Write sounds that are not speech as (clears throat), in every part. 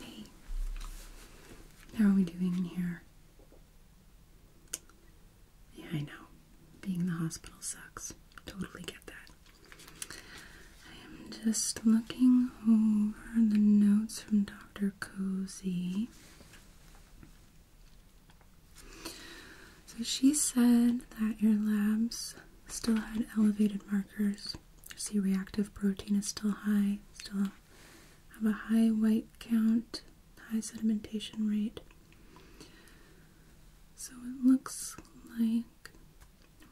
Okay. How are we doing in here? Yeah, I know. Being in the hospital sucks. Totally get that. I am just looking over the notes from Dr. Cozy. So she said that your labs still had elevated markers. C reactive protein is still high, still have a high white count, high sedimentation rate. So it looks like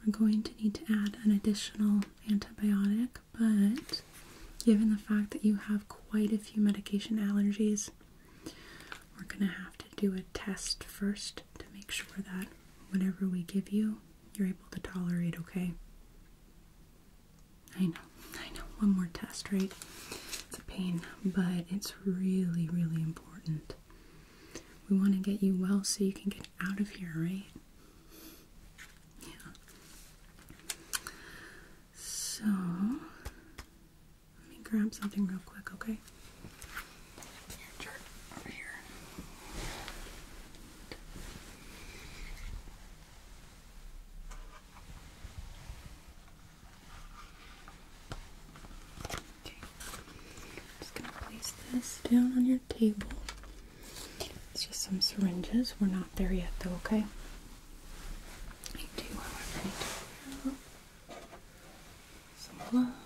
we're going to need to add an additional antibiotic but given the fact that you have quite a few medication allergies, we're going to have to do a test first to make sure that whatever we give you, you're able to tolerate, okay? I know, I know, one more test, right? It's a pain, but it's really, really important. We want to get you well so you can get out of here, right? Yeah. So, let me grab something real quick, okay? over here. Okay. just going to place this down on your table. It's just some syringes. We're not there yet, though, okay? some gloves.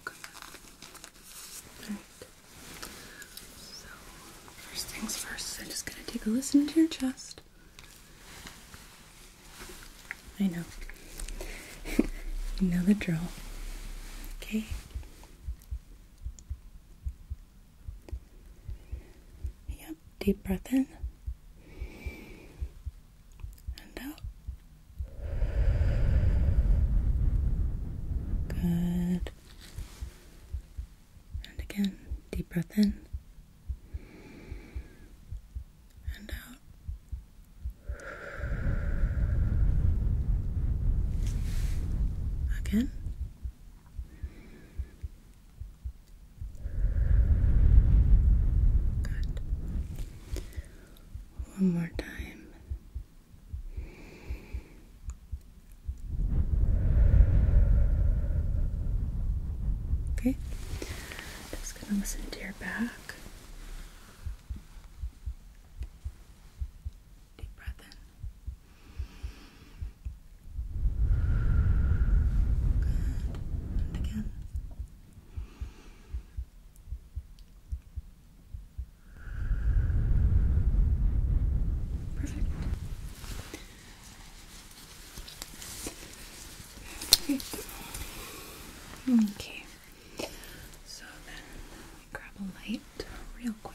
Okay. Alright. So, first things first, I'm just gonna take a listen to your chest. I know. (laughs) you know the drill. Okay. Yep, deep breath in and out. Good. And again, deep breath in and out. Again Good. One more time. Okay. Just gonna listen to your back. Deep breath in. And again. Perfect. Okay. So then grab a light real quick.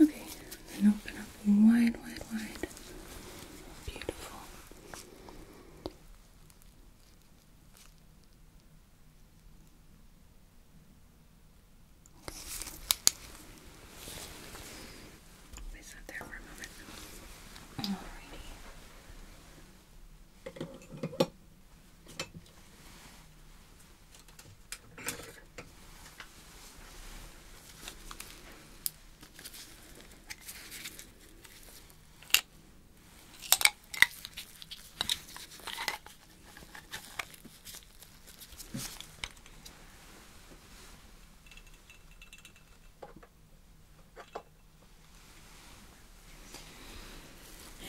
Okay, then open up wide, wide, wide. Beautiful. Okay. Please sit there for a moment. Alrighty.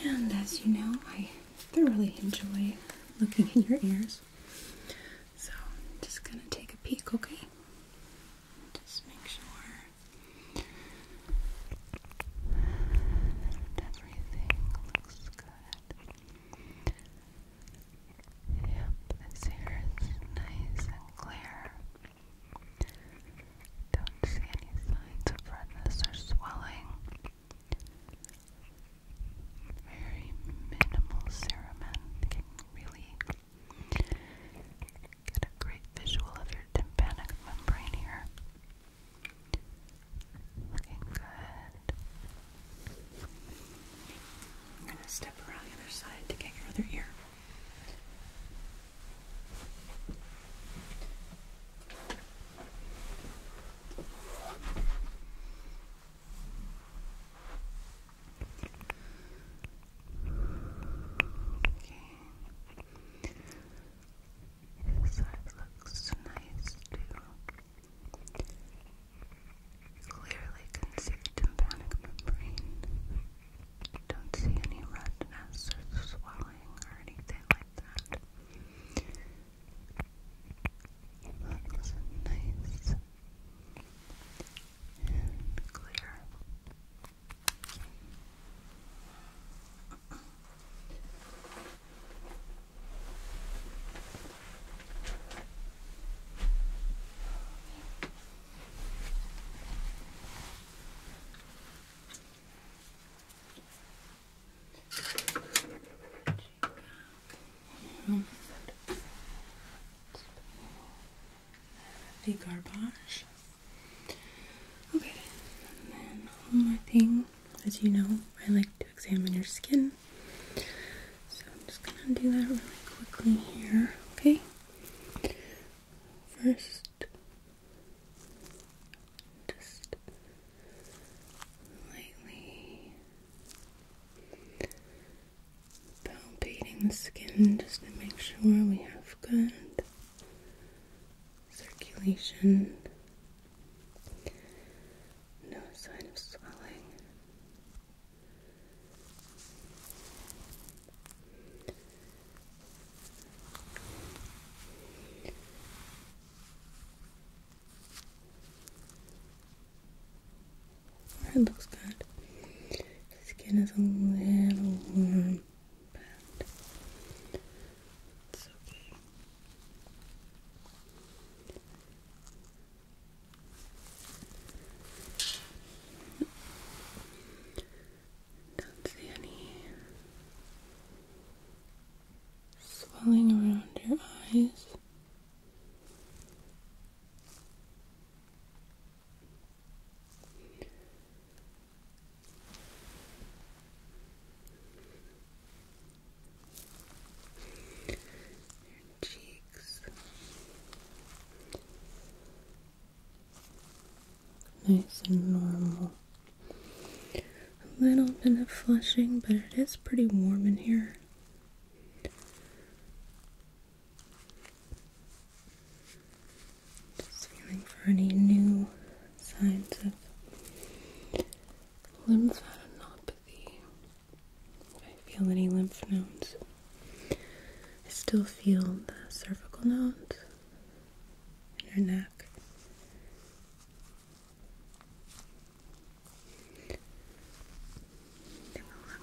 And as you know, I thoroughly enjoy looking at your ears. So I'm just going to take a peek, okay? Just make sure everything looks good. Yep, this here is nice and clear. Don't see any signs of redness or swelling. Very minimal serum can really get a great visual of your tympanic membrane here. Looking good. I'm going to step around the other side to get your other ear. Okay. This side looks nice too. Clearly conceived tympanic membrane. Don't see any redness or swelling or anything like that. Looks nice clear the garbage. Okay, and then one more thing. As you know, I like to examine your skin. So I'm just gonna do that really quickly here, okay? First, just lightly palpating the skin just to make sure we have good circulation. No sign of swelling. That looks good. The skin is a little warm, but okay. Don't see any swelling around your eyes. Your cheeks. Nice and normal. A little bit of flushing, but it is pretty warm in here. Just feeling for any new signs of lymphadenopathy. If I feel any lymph nodes. I still feel the cervical nodes in your neck. Take a look.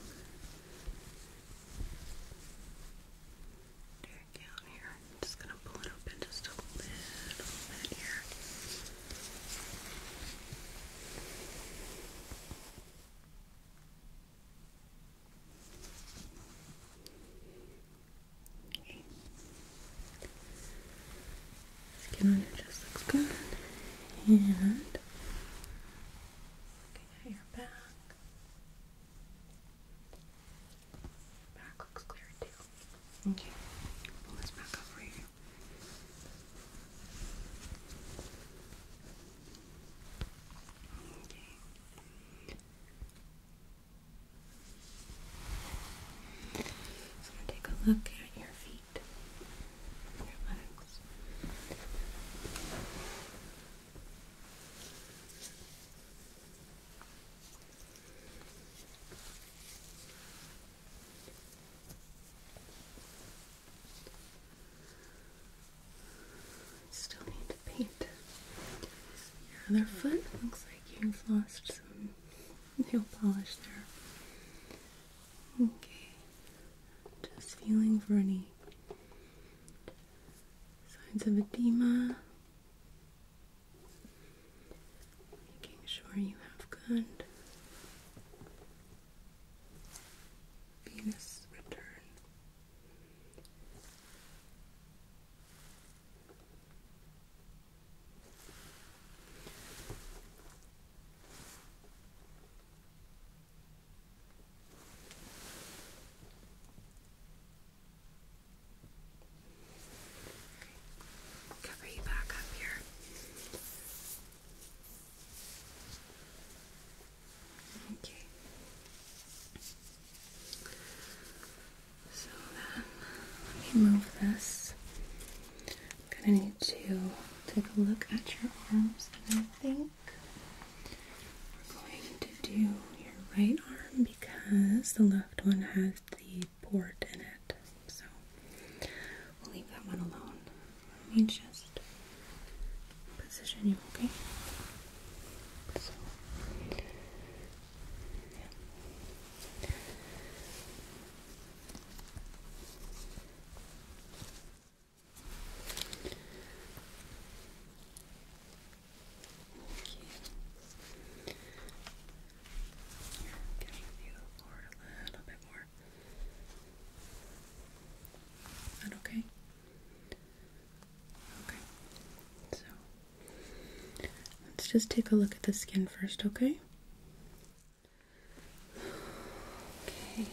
here. I'm just gonna pull it open just a little bit here. Okay. Skin on looks good. And looking at your back. Back looks clear too. Okay. Pull this back up for you. Okay. So take a look at your feet, your legs. Still need to paint your other foot. Looks like you've lost some nail polish there. Okay, just feeling for any signs of edema. Making sure you have good. Venus return. Cover you back up here. Okay. So let me move this. I'm gonna need to take a look at your arms, and I think we're going to do your right arm because the left one has the port in it. So we'll leave that one alone. Let me just position you, okay? So, yeah. Okay. Get you a little bit more. that Okay. Okay, so let's just take a look at the skin first, okay? Okay,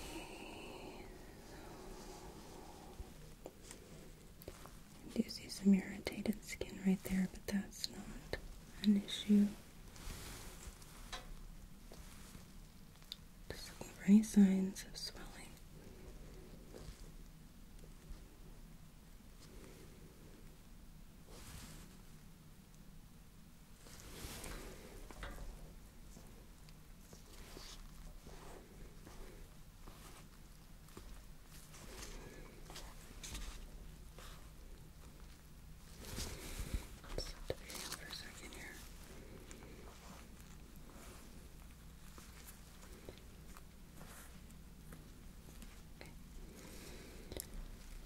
do see some irritated skin right there, but that's not an issue doesn't leave any signs of swelling. Sit for a second here.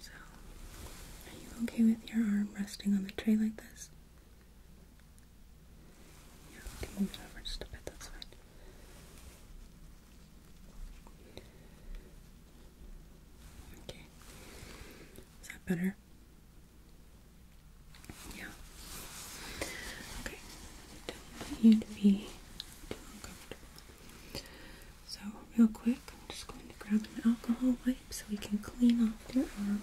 So, are you okay with your arm resting on the tray like this? Yeah, can move it over just a bit, that's fine. Okay. Is that better? Yeah. Okay. Don't want you be uncomfortable. So, real quick, I'm just going to grab an alcohol wipe so we can clean off your arm.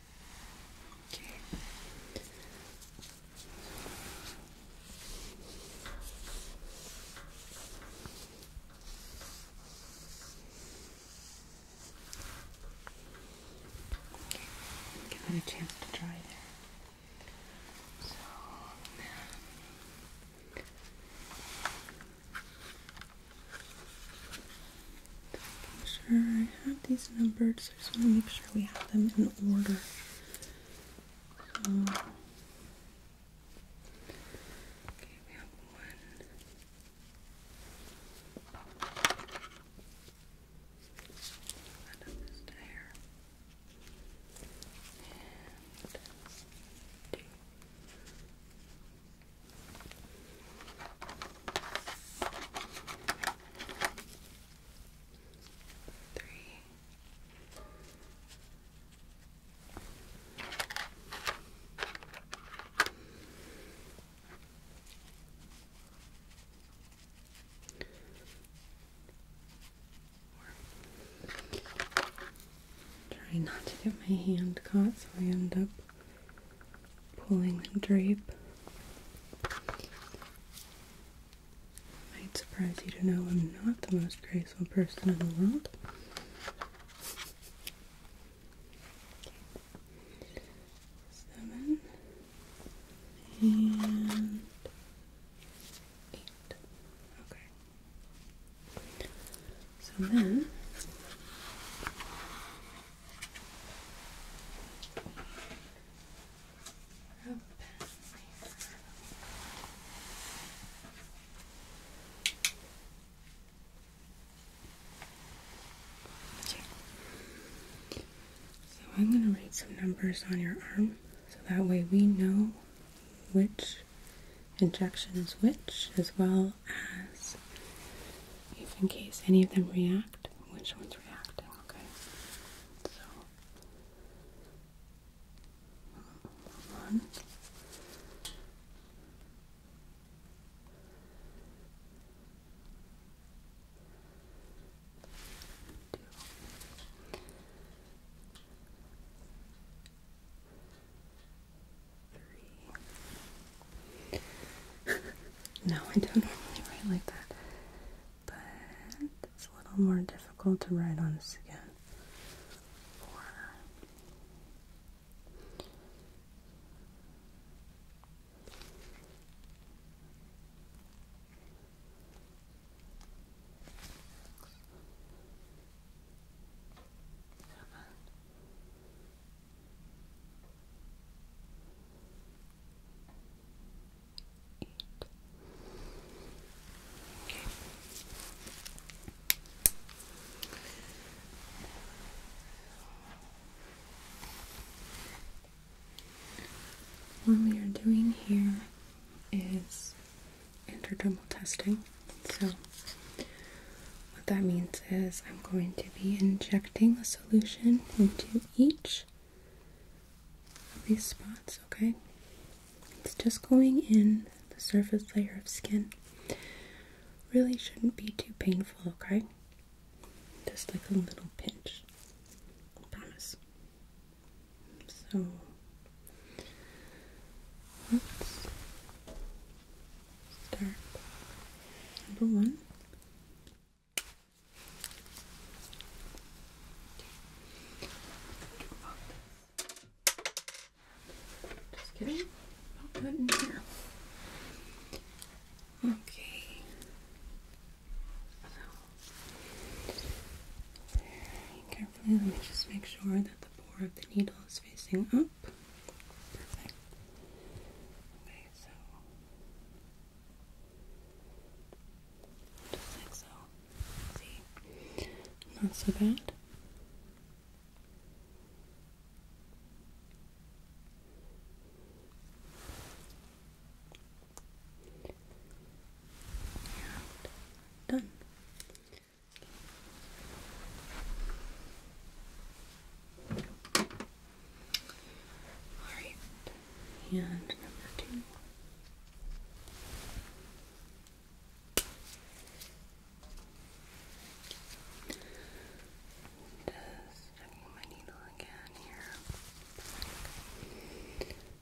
Okay. give it a chance to dry there. So Sure, I have these numbers. I just want to make sure we have them in order. Um, okay, we have one. Set up this tire three. Try not to get my hand caught, so I end up pulling the drape. Might surprise you to know I'm not the most graceful person in the world. Seven eight. Okay. So then Okay. So I'm going to write some numbers on your arm so that way we know which injections, which as well as if in case any of them react, which one's reacting, okay? So one. (laughs) no, I don't normally write like that but it's a little more difficult to write on skin or what we are doing here is intradermal testing. So, what that means is I'm going to be injecting a solution into each these spots, okay? It's just going in the surface layer of skin. Really shouldn't be too painful, okay? Just like a little pinch. promise. So let's start number one. Just Okay. So very carefully let me just make sure that the bore of the needle is facing up. Perfect. Okay, so just like so. See? Not so bad. done. All right and number two. Just checking my needle again here.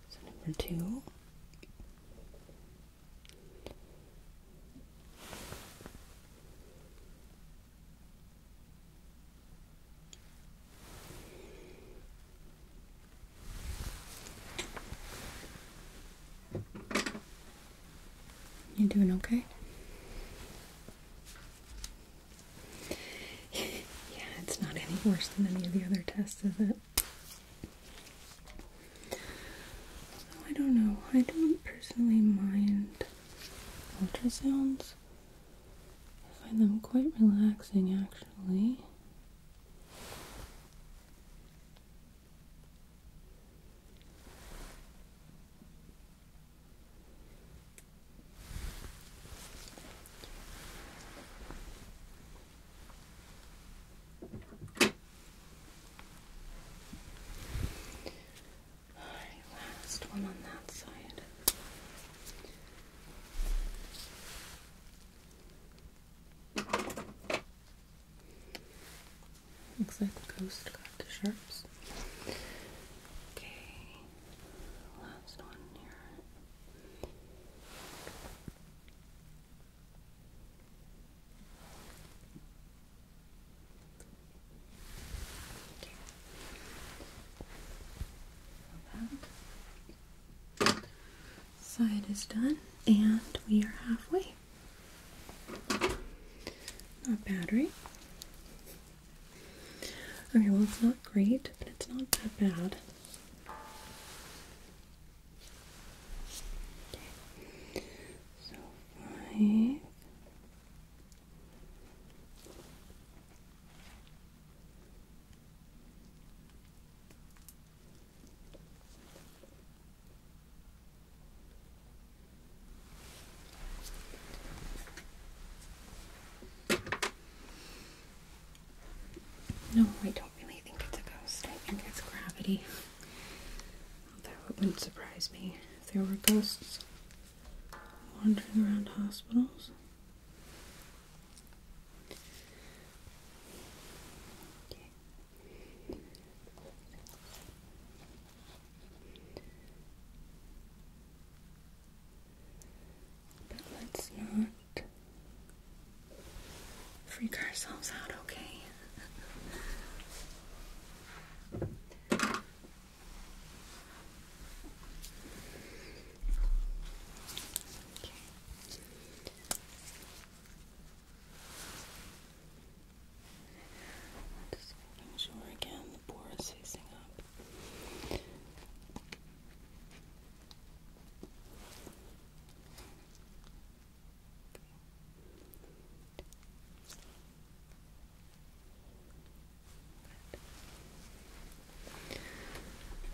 So number two. You doing okay? (laughs) yeah, it's not any worse than any of the other tests, is it? Oh, I don't know. I don't personally mind ultrasounds. I find them quite relaxing actually. last one on that side. Looks like the ghost got the sharps. Okay, last one here. Okay. Side is done, and we are halfway. Not battery. Okay, well, it's not great, but it's not that bad. So, five. No, I don't really think it's a ghost. I think it's gravity. Although it wouldn't surprise me if there were ghosts wandering around hospitals. But let's not freak ourselves out, okay? (laughs) okay. Just making sure again the bore is facing up.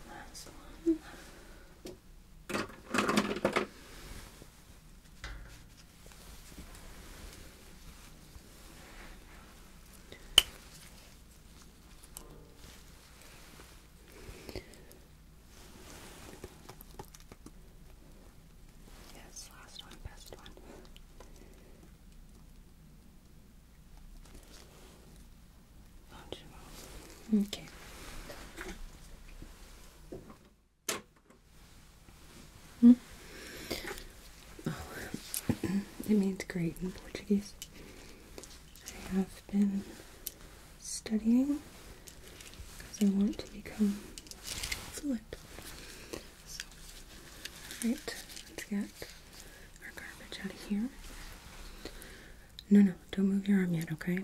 Last one. Yes, last one, best one. Okay. Hmm? Oh, (clears throat) it means great in Portuguese. I have been studying because I want to become fluent. So, right, let's get our garbage out of here. No, no, don't move your arm yet, okay?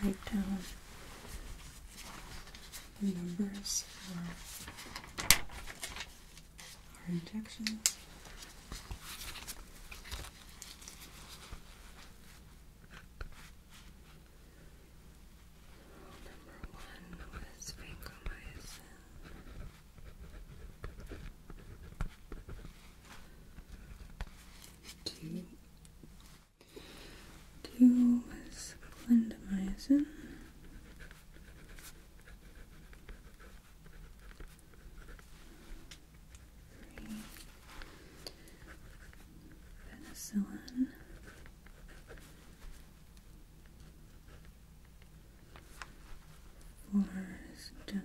just write down the numbers for our injections. Number one was vancomycin. Two do with clindamycin. Three. Penicillin. Four is gentamicin.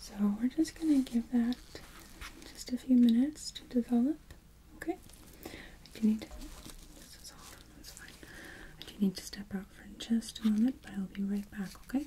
So we're just going to give that just a few minutes to develop. Okay. I do need this is all, that's fine. I do need to step out for just a moment, but I'll be right back, okay?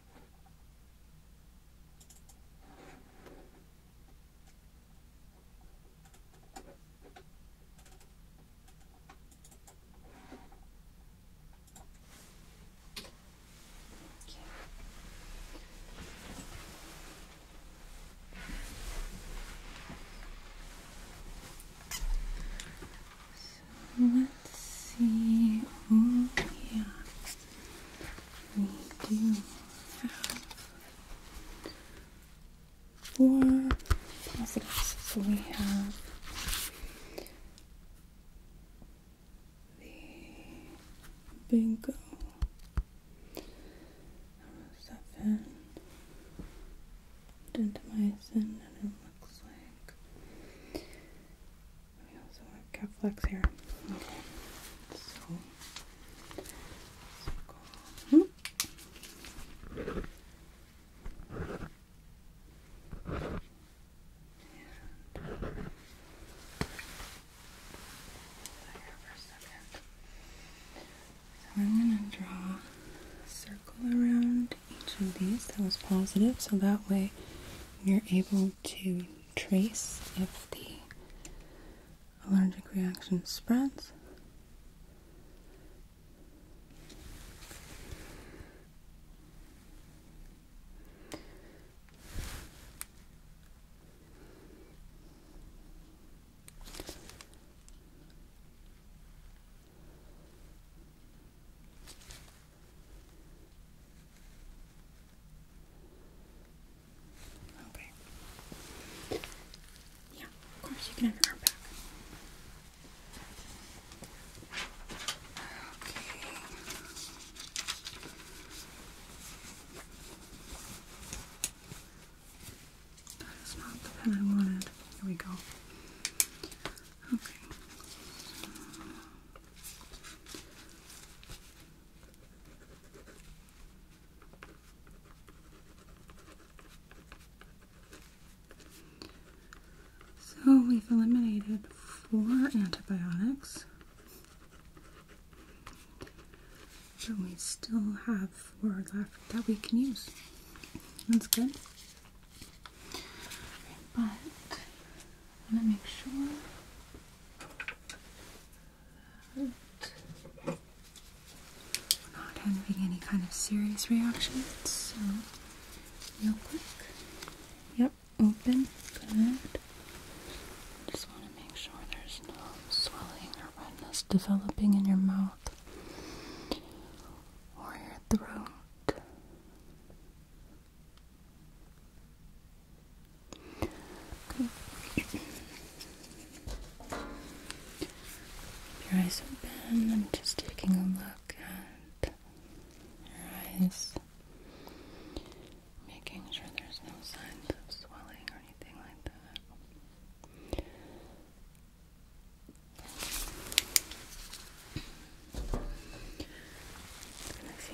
Okay. So let's see. Oh yeah we have four positives. we have the bingo seven dentamycin and it looks like we also have calf flex here. Okay. here So I'm going to draw a circle around each of these that was positive so that way you're able to trace if the allergic reaction spreads. Okay. Yeah, of course you can have your arm back. Okay. That is not the pen I wanted. Here we go. Okay. So we've eliminated four antibiotics, So we still have four left that we can use. That's good. But I'm make sure not having any kind of serious reactions, so real quick. Yep, open. Good. Just want to make sure there's no swelling or redness developing in your mouth or your throat. Okay. Your eyes open. I'm just taking a look at your eyes, making sure there's no signs of swelling or anything like that.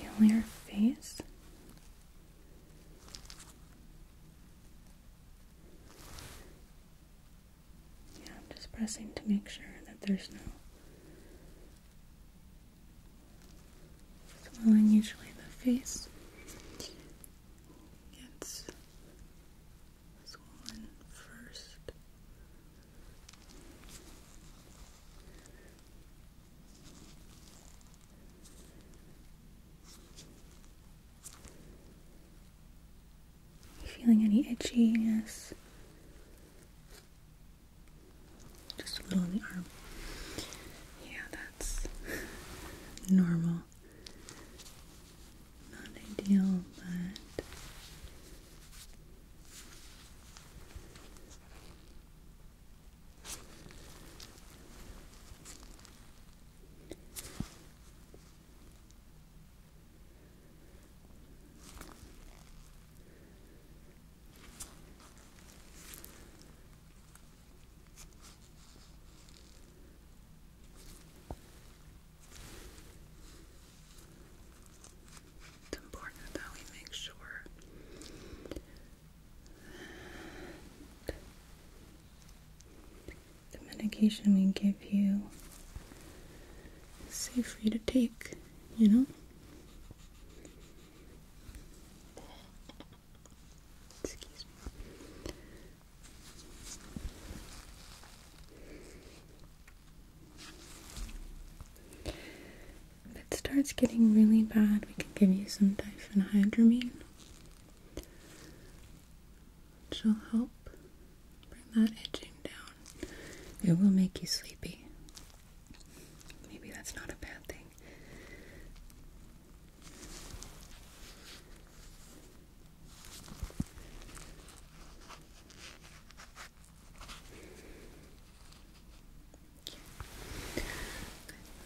I'm going your face. Yeah, I'm just pressing to make sure that there's no swelling. Usually the face gets swollen first. Feeling any itchiness? Just a little on the arm. Yeah, that's normal. Not ideal, but it's important that we make sure the medication we give you is safe for you to take, you know? Excuse me. If it starts getting really bad, we can give you some diphenhydramine which will help bring that itching down. It will make you sleepy. Maybe that's not a bad thing.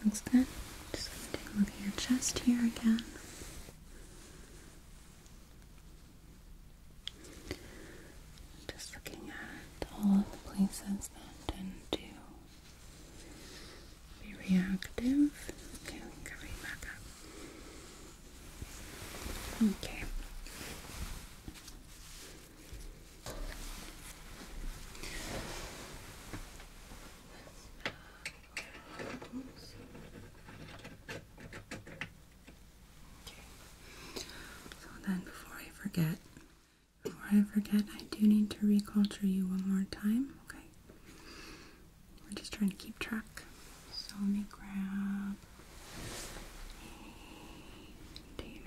Thank good. Just gonna take a look at your chest here again. Just looking at all of the places that tend to be reactive. Okay, we back up. Okay. So then, before I forget, before I forget, I do need to reculture you one more time. Okay. We're just trying to keep track. So let me grab a container.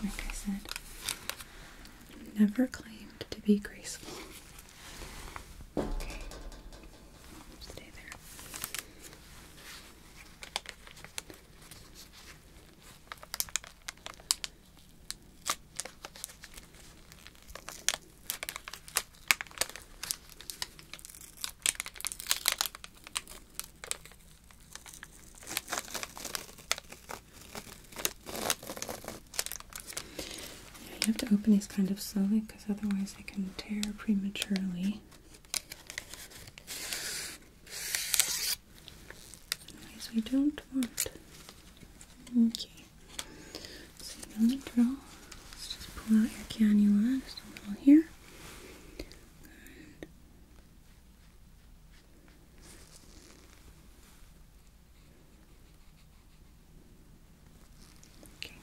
Like I said, never claimed to be graceful. stay there you have to open these kind of slowly because otherwise they can tear prematurely we don't want. Okay. So now we draw. Let's just pull out your cannula just a here. Okay.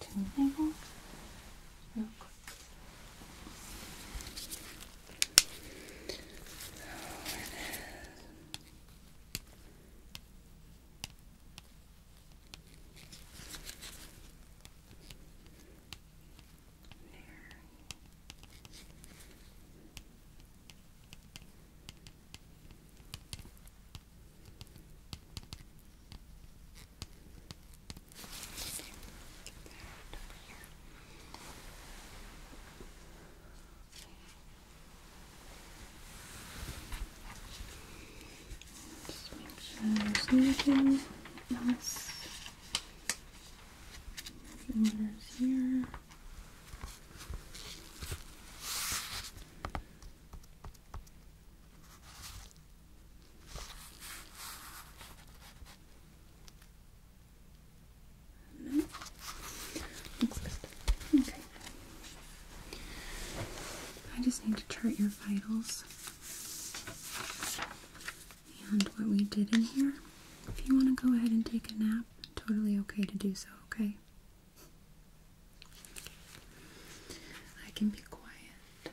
Just need to label there it is. There. There over here. Just make sure there's nothing else. Fingers here. Okay. I just need to chart your vitals and what we did in here. If you want to go ahead and take a nap, totally okay to do so, okay? I can be quiet.